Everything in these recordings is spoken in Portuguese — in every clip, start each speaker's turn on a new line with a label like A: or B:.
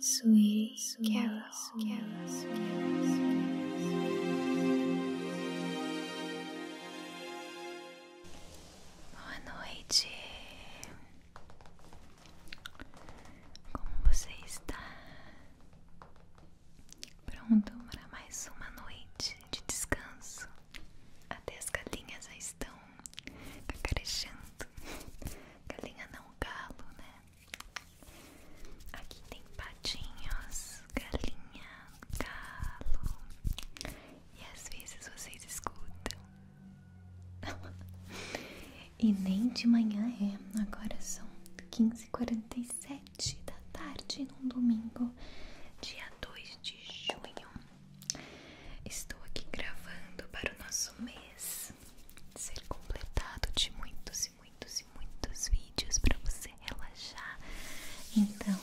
A: Sweet, sweet Carol. Carol, sweet, Carol, sweet. Boa noite. Como você está? Pronto para mais uma noite de descanso? Até as galinhas já estão cacarejando. Galinha não galo, né? Aqui tem patinhos, galinha, galo. E às vezes vocês escutam. e nem de manhã é. Agora são 15h47 da tarde num domingo, dia 2 de junho. Estou aqui gravando para o nosso mês ser completado de muitos e muitos e muitos vídeos para você relaxar. Então,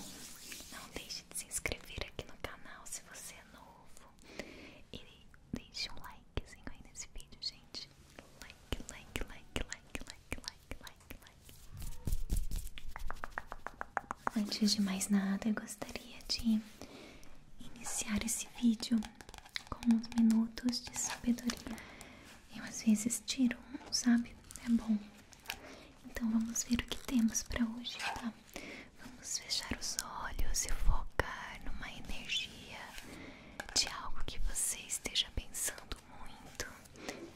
A: não deixe de se inscrever aqui no canal se você é novo e deixe um likezinho aí nesse vídeo, gente. like, like, like, like, like, like, like. Antes de mais nada, eu gostaria de iniciar esse vídeo com uns minutos de sabedoria. Eu às vezes tiro um, sabe? É bom. Então vamos ver o que temos para hoje, tá? Vamos fechar os olhos e focar numa energia de algo que você esteja pensando muito,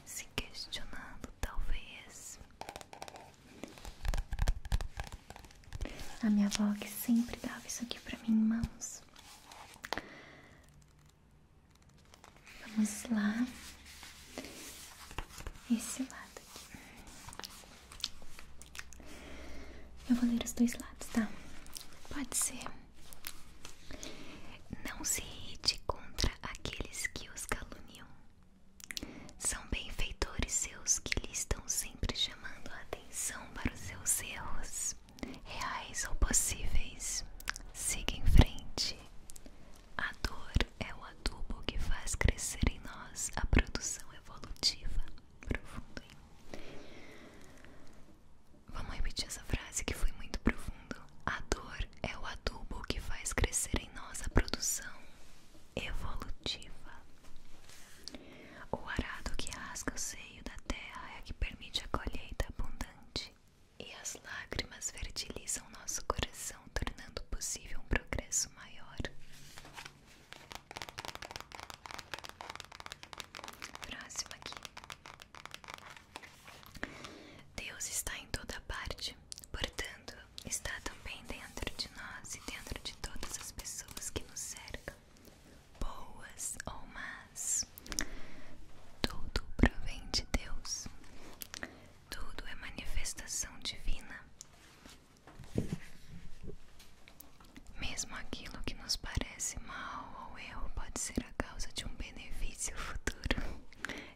A: se questionando talvez. A minha avó que sempre dava isso aqui para mim em mãos. Vamos lá. Esse lado aqui. Eu vou ler os dois lados, tá? Pode ser. Não se irrite contra aqueles que os caluniam. São benfeitores seus que lhe estão sempre chamando a atenção para os seus erros, reais ou possíveis. Siga em frente. A dor é o adubo que faz crescer em nós a produção evolutiva. Profundo, hein? Vamos repetir essa frase que foi muito profundo. A dor é o adubo que faz crescer em nós a produção evolutiva. O arado que rasga o seio da terra é que permite a colheita abundante, e as lágrimas fertilizam nosso coração, tornando possível um progresso maior. Próximo aqui. Deus está em toda parte, portanto, está também dentro de nós e dentro de todas as pessoas que nos cercam, boas ou más. Tudo provém de Deus, tudo é manifestação divina. Mesmo aquilo que nos parece mal ou erro pode ser a causa de um benefício futuro.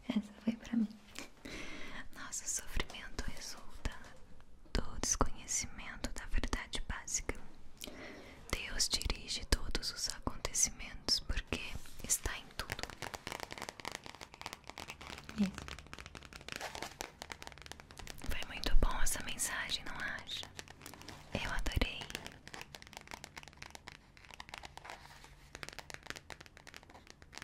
A: Essa foi para mim. Nosso sofrimento resulta do desconhecimento da verdade básica. Deus dirige todos os acontecimentos porque está em tudo. Foi muito bom essa mensagem, não acha? Eu adorei.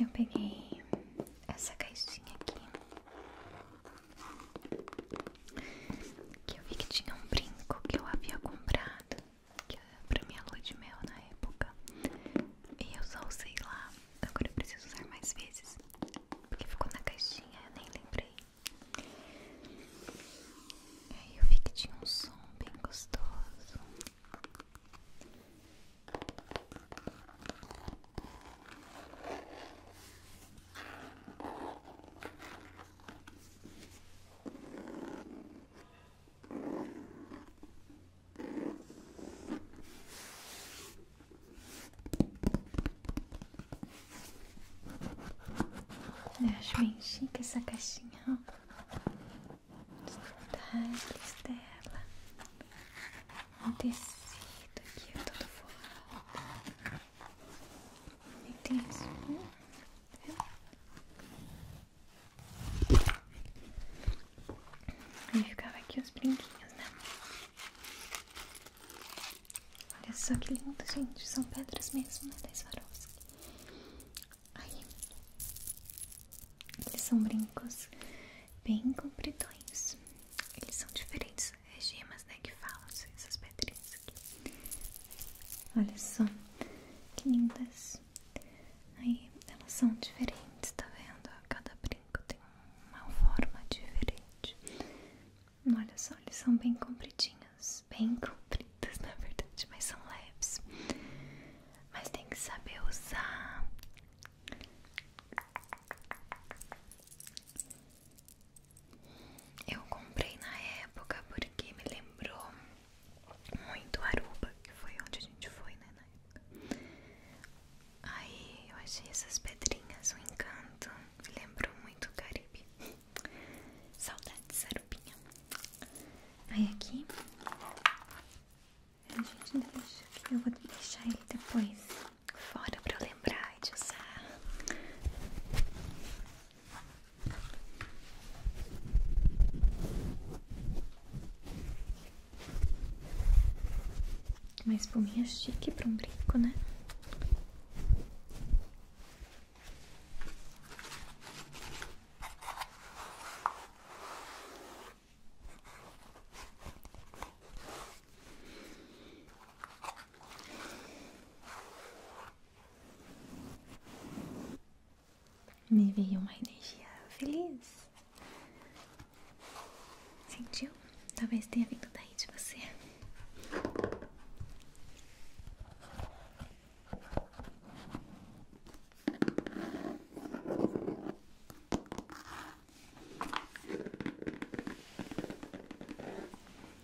A: Eu peguei essa caixinha aqui que eu vi que tinha um brinco que eu havia comprado que é pra minha lua de mel na época. E eu só usei lá. Agora eu preciso usar mais vezes. Porque ficou na caixinha, eu nem lembrei. Aí eu vi que tinha um som bem gostoso. Eu acho bem chique essa caixinha, ó. Os detalhes tecido aqui é todo forrado. Aí tem isso. Aí ficava aqui os brinquinhos, né? Olha só que lindo, gente. São pedras mesmo, mas Da Swarovski. Aí. Eles são brincos bem compridões. Eles são diferentes. É gemas, né? Que falam essas pedrinhas. Olha só, que lindas. Aí, elas são diferentes, tá vendo? Cada brinco tem uma forma diferente. Olha só, eles são bem compridinhos, bem compridas na verdade, mas são leves. Mas tem que saber usar. Eu comprei na época porque me lembrou muito Aruba, que foi onde a gente foi, né? Na época. Aí eu achei essas pedrinhas um encanto, me lembrou muito o Caribe. Saudades, Arubinha. Aí aqui a gente deixa aqui, eu vou deixar ele depois fora pra eu lembrar de usar. Uma espuminha chique para um brinco, né? Me veio uma energia feliz. Sentiu? Talvez tenha vindo daí de você.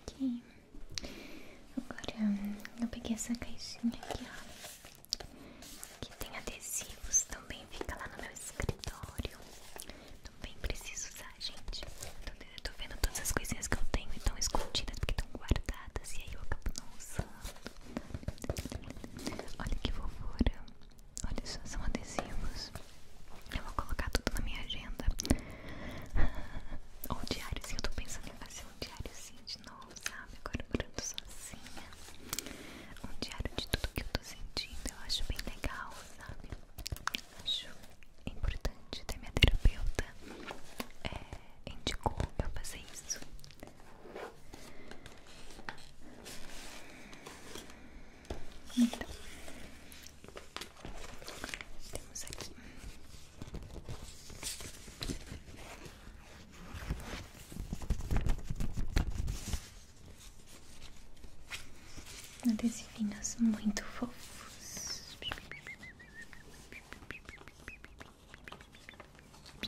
A: Aqui. Agora eu peguei essa caixinha aqui, ó. Que tem adesivos também, fica lá no meu escritório. Também preciso usar, gente. Então, eu tô vendo todas as coisinhas que eu tenho e estão escondidas porque estão guardadas. E aí eu acabo não usando. Olha que fofura. Olha só, são adesivos. Eu vou colocar tudo na minha agenda. Ou diário sim, eu tô pensando em fazer um diário sim de novo, sabe? Agora morando sozinha. Um diário de tudo que eu tô sentindo, eu acho bem legal, sabe? Acho importante até minha terapeuta é, indicou eu fazer isso. Então, temos aqui adesivinhos muito fofos.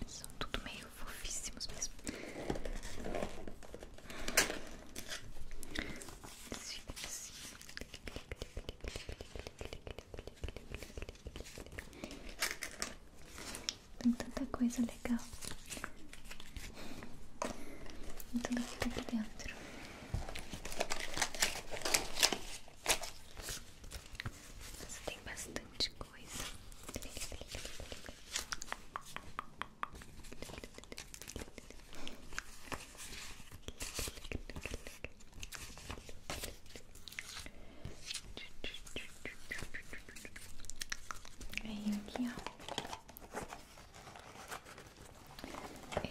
A: São tudo meio fofíssimos mesmo. Tem tanta coisa legal. tudo aqui dentro. Nossa, tem bastante coisa. Aí aqui, ó.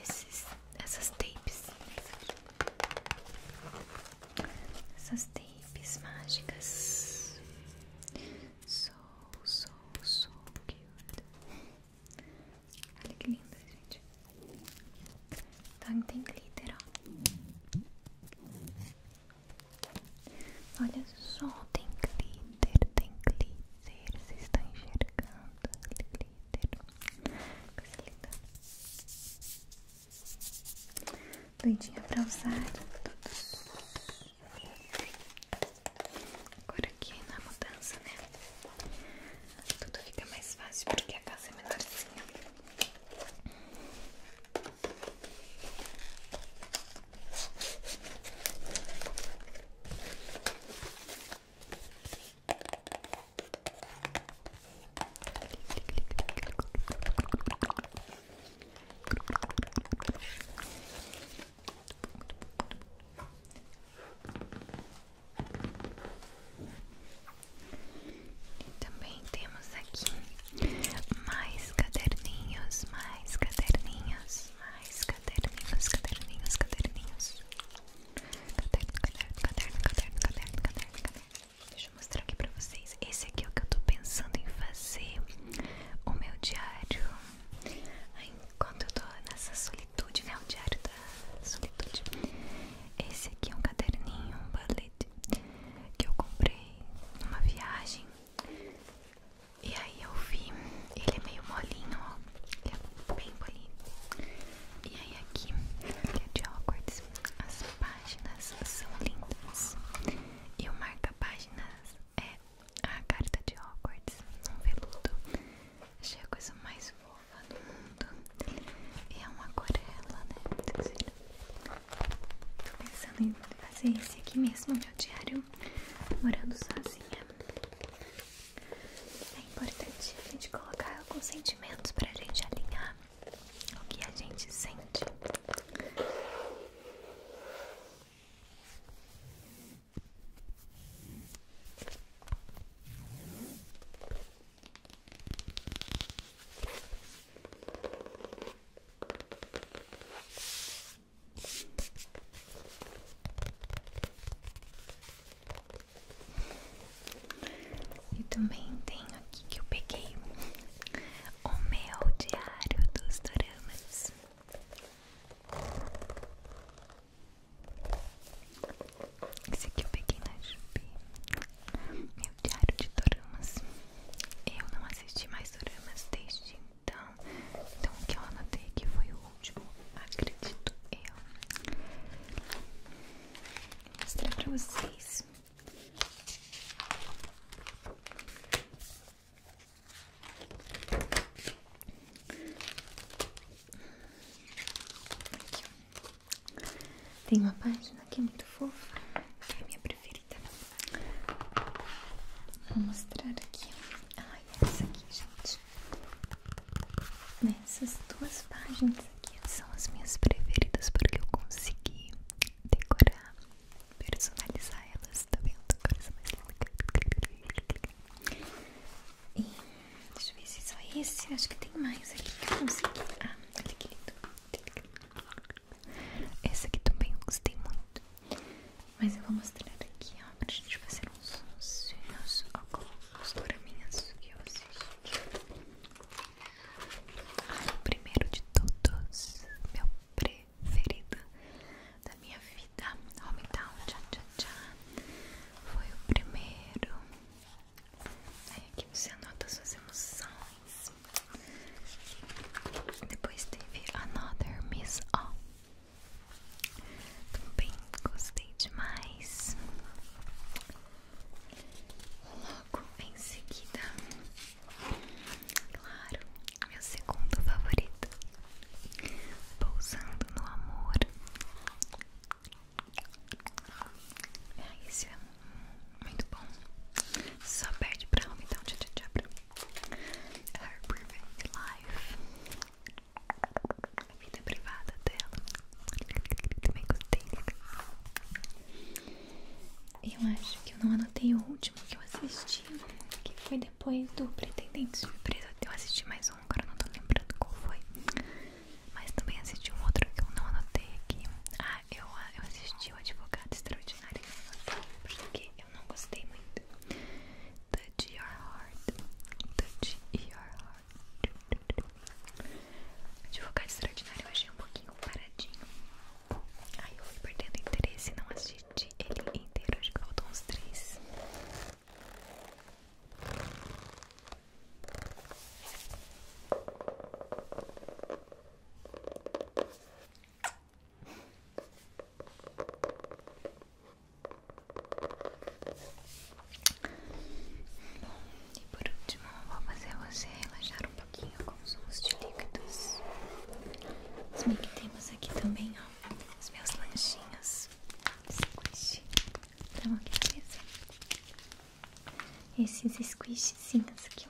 A: Esses, essas tapes. Essas tapes mágicas. So, so, so cute. Olha que linda, gente. Então tem glitter, ó. Olha só, tem glitter, tem glitter. Vocês estão enxergando glitter. Coisa linda. Doidinha pra usar. Todos. Agora aqui na mudança, né? Tudo fica mais fácil porque a casa é menorzinha. E também temos aqui mais caderninhos, mais caderninhos, mais caderninhos, caderninhos, caderninhos. Caderno, caderno, caderno, caderno, caderno, caderno, caderno. Deixa eu mostrar aqui pra vocês. Esse aqui é o que eu tô pensando em fazer. O meu diário Enquanto eu tô nessa solitude, né? o diário da solitude. Esse aqui é um caderninho, um balete que eu comprei numa viagem. E aí eu vi, ele é meio molinho, ó. Ele é bem bonito E aí aqui, que é de Hogwarts, as páginas são lindas. E o marca-páginas é a carta de Hogwarts um veludo. Achei a coisa mais fofa do mundo. E é uma aquarela, né? Tô pensando em fazer esse aqui mesmo, meu diário, morando sozinha. É importante a gente colocar alguns sentimentos pra gente alinhar o que a gente sente. E também tenho aqui que eu peguei o meu diário dos doramas. Esse aqui eu peguei na Jubi. Meu diário de doramas. Eu não assisti mais doramas desde então. Então o que eu anotei aqui foi o último. Acredito eu. Vou mostrar pra vocês. Tem uma página que é muito fofa, que é a minha preferida. Vou mostrar aqui. Ai, essa aqui, gente. Essas duas páginas aqui são as minhas preferidas porque eu consegui decorar, personalizar elas você tá vendo? Agora isso é mais longo. E deixa eu ver se é só esse. Acho que tem mais aqui que eu consegui. Ah, olha que lindo. Esse aqui também eu gostei muito. Mas eu vou mostrar aqui, ó, pra gente fazer uns sonhos óculos minhas que eu assisti. Ai, primeiro de todos, meu preto ferida da minha vida. Hometown, tchá tchá tchá. Foi o primeiro. Aí aqui você anota suas emoções. Depois teve Another Miss O. Também gostei demais. Logo em seguida, claro, meu segundo favorito, Pousando no Amor. Ah, é, esse é muito bom. Só perde pra Home Down Cha Cha Cha pra mim. Her Perfect Life. A vida privada dela. Também gostei. Eu acho que eu não anotei o último que eu assisti, que foi depois do Pretendente Surpresa eu assisti mais um, agora não tô lembrando qual foi Mas também assisti um outro que eu não anotei aqui Ah, eu, eu assisti o Advogado Extraordinário Porque eu não gostei muito the Your Heart the Your Heart Advogado Extraordinário eu achei um pouquinho paradinho Aí eu fui perdendo interesse e não assisti de ele inteiro, de caldons três. Bom, e por último, vou fazer você relaxar um pouquinho com sons de líquidos. Se bem que temos aqui também, ó, os meus lanchinhos squish. Tá então, é aqui na mesa? Esses squishzinhos aqui,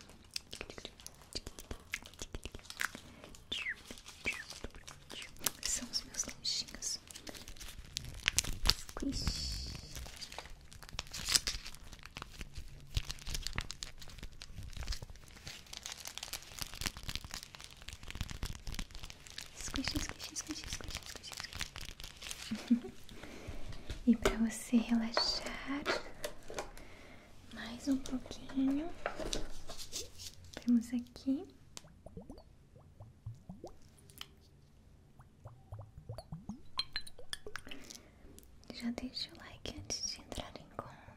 A: São os meus lanchinhos. Squish. Squish, squish, squish, squish, squish, squish. e para você relaxar mais um pouquinho, temos aqui. Já deixa o like antes de entrar em coma.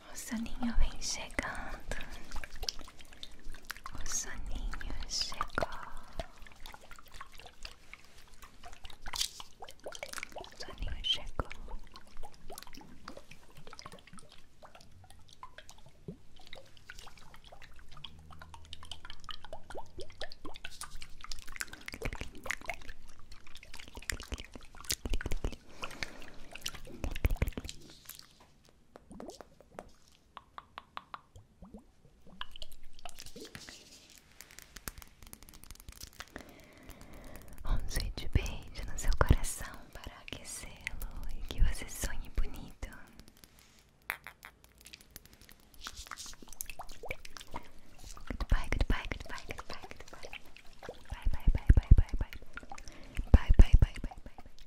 A: O soninho vem chegando. O soninho chegou. O soninho chegou. Um sweet beijo no seu coração para aquecê-lo e que você sonhe bonito. Goodbye, goodbye, goodbye, goodbye, goodbye. Bye, bye, bye, bye, bye, bye. Bye bye bye bye bye